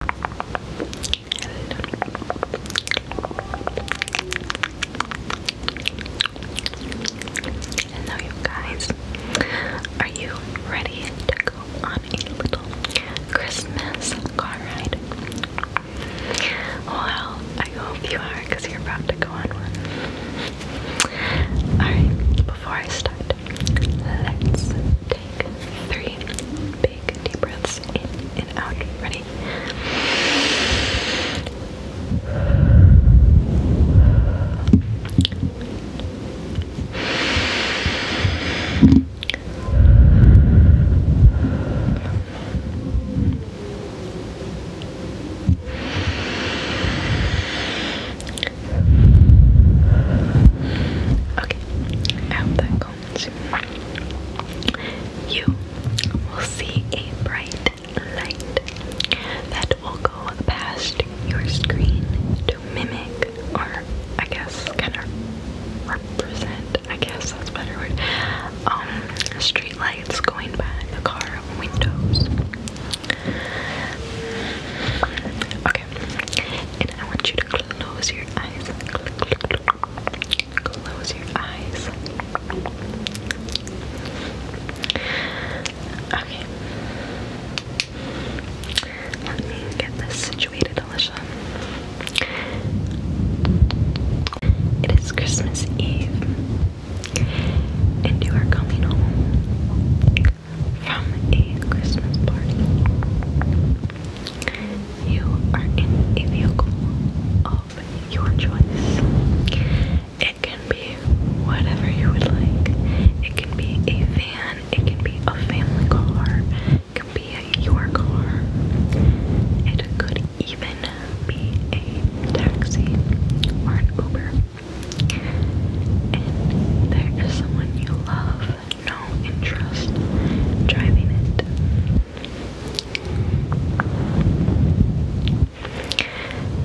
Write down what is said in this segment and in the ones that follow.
Hello, you guys. Are you ready to go on a little Christmas car ride? Well, I hope you are because you're about to go on one. Alright, before I start, let's take three Take deep breaths in and out. Ready? I hope that you. will see a bright light that will go past your screen to mimic, or I guess kind of represent, I guess that's better word, um, street lights going by the car windows. And I want you to close your eyes. Close your eyes. Okay. Let me get this situated, Alicia. It is Christmas Eve, and you are coming home from a Christmas party. You are in a vehicle of your choice. It can be whatever you would like. It can be a van, it can be a family car, it can be a, your car. It could even be a taxi or an Uber. And there is someone you love no interest driving it.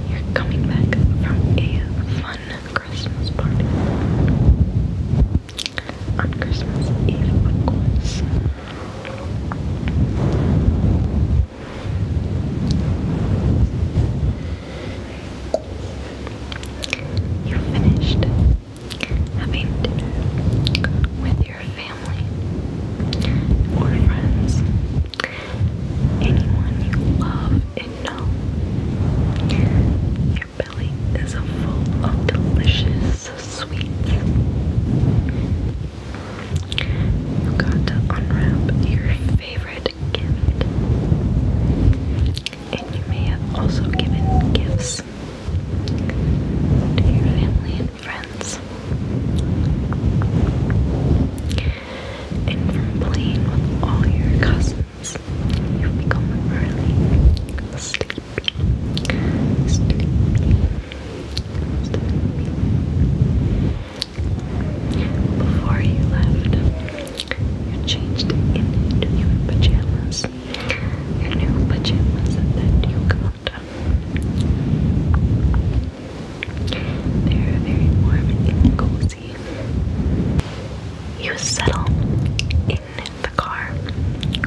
You're coming back from a fun Christmas party. On Christmas Eve, of you finished having dinner with your family or friends, anyone you love and know. Your belly is full of delicious sweets. You got to unwrap your favorite gift and you may have also given gifts to your family and friends. And from playing with all your cousins, you've become really sleepy. Before you left, you changed into your pajamas. Your new pajamas that you got. They're very warm and cozy. You settle in the car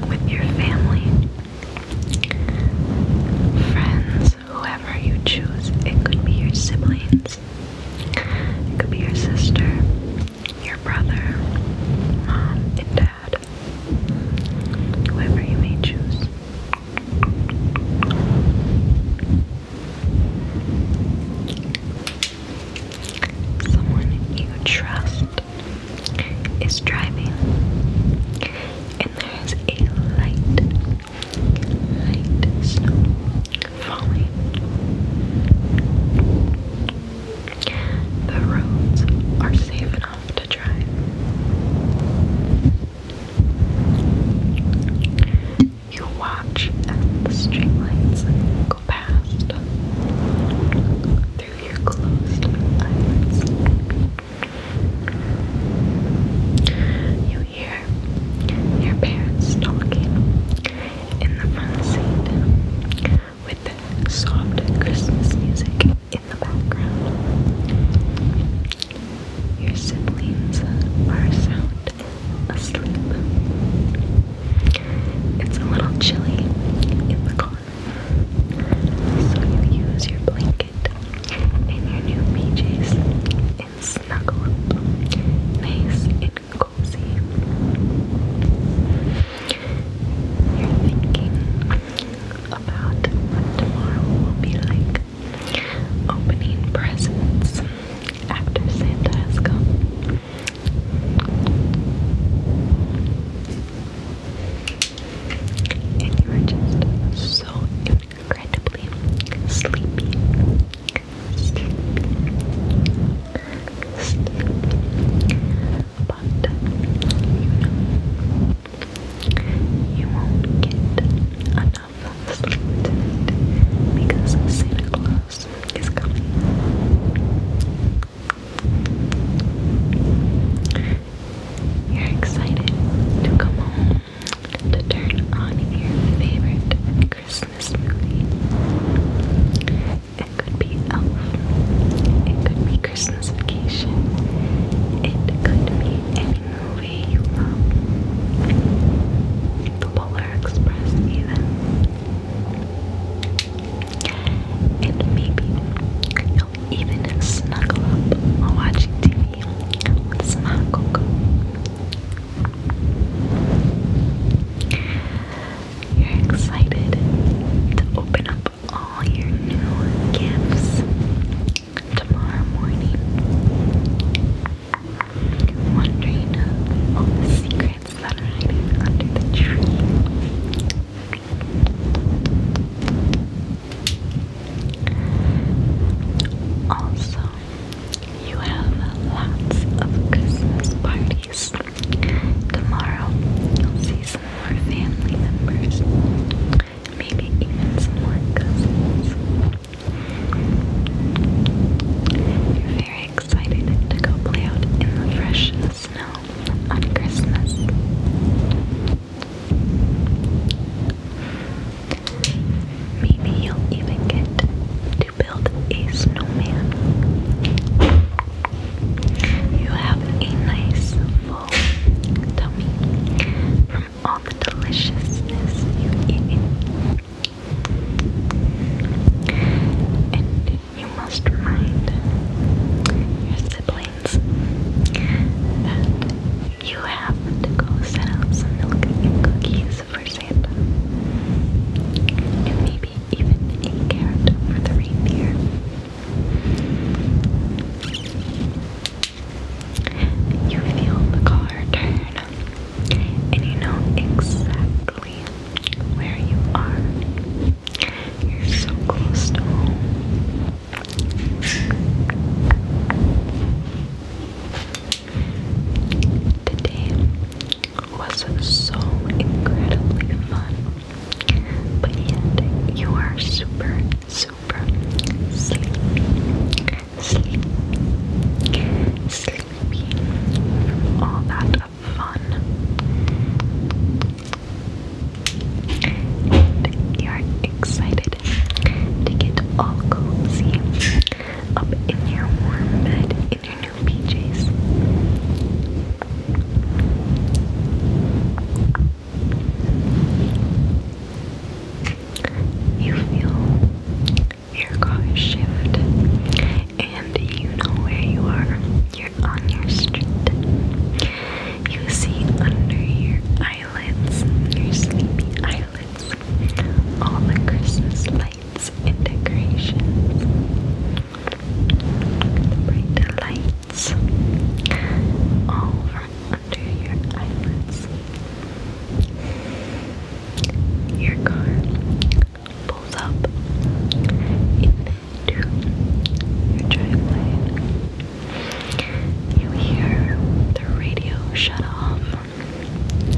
with your family, friends, whoever you choose. It could be your siblings. It could be your sister, your brother, mom, and dad. Whoever you may choose. Someone you trust is driving, and there is a light, light snow falling. The roads are safe enough to drive. You watch as the streetlights go past through your closed eyelids. You hear your parents talking in the front seat with soft Christmas music in the background. Your siblings are sound asleep. It's a little chilly in the car, so you use your blanket and your new PJs and snuggle up nice and cozy. You're thinking about what tomorrow will be like. Opening presents after Santa has come. And you are just so incredibly sleepy. But you won't get enough sleep because Santa Claus is coming. You're excited to come home to turn on your favorite Christmas movie. It could be Elf, it could be Christmas Vacation, it could be any movie you love, the Polar Express, even. And maybe you'll even snuggle up while watching TV with some hot cocoa. You're excited to open up all your new gifts tomorrow morning. Wondering all the secrets that are hiding under the tree. Also, you have lots of Christmas parties. Tomorrow, you'll see some more family members. Maybe even some more cousins. You're very excited to go play out in the fresh snow on Christmas. Maybe you'll even get to build a snowman. You have a nice full tummy from all the deliciousness you eat. And you must remind your siblings that you have to go set up some milk and cookies for Santa. And maybe even a carrot for the reindeer. You feel the car turn, and you know exactly where you are. You're so close to home. Today was so incredibly fun, but yet you are super, super sleepy, all that fun. And you are excited to get all cozy up in your warm bed in your new PJs. You feel your car shift and you know where you are. You're on your street. You see under your eyelids, your sleepy eyelids all the Christmas lights and decorations, bright lights, all from under your eyelids. Your car pulls up into your driveway. You hear the radio shut off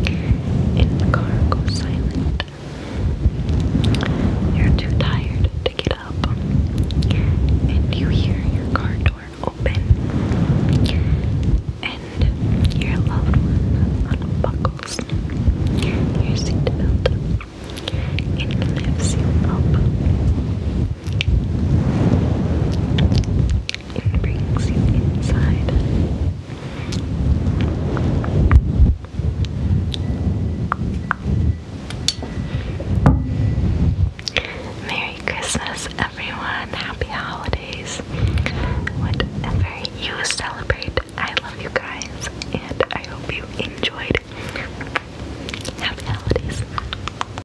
and the car goes silent. You're too tired to get up, and you hear your car door open, and your loved one unbuckles your seatbelt and lifts you up. It brings you inside. Merry Christmas, everyone. Happy holidays. Whatever you celebrate, I love you guys, and I hope you enjoyed. Happy holidays.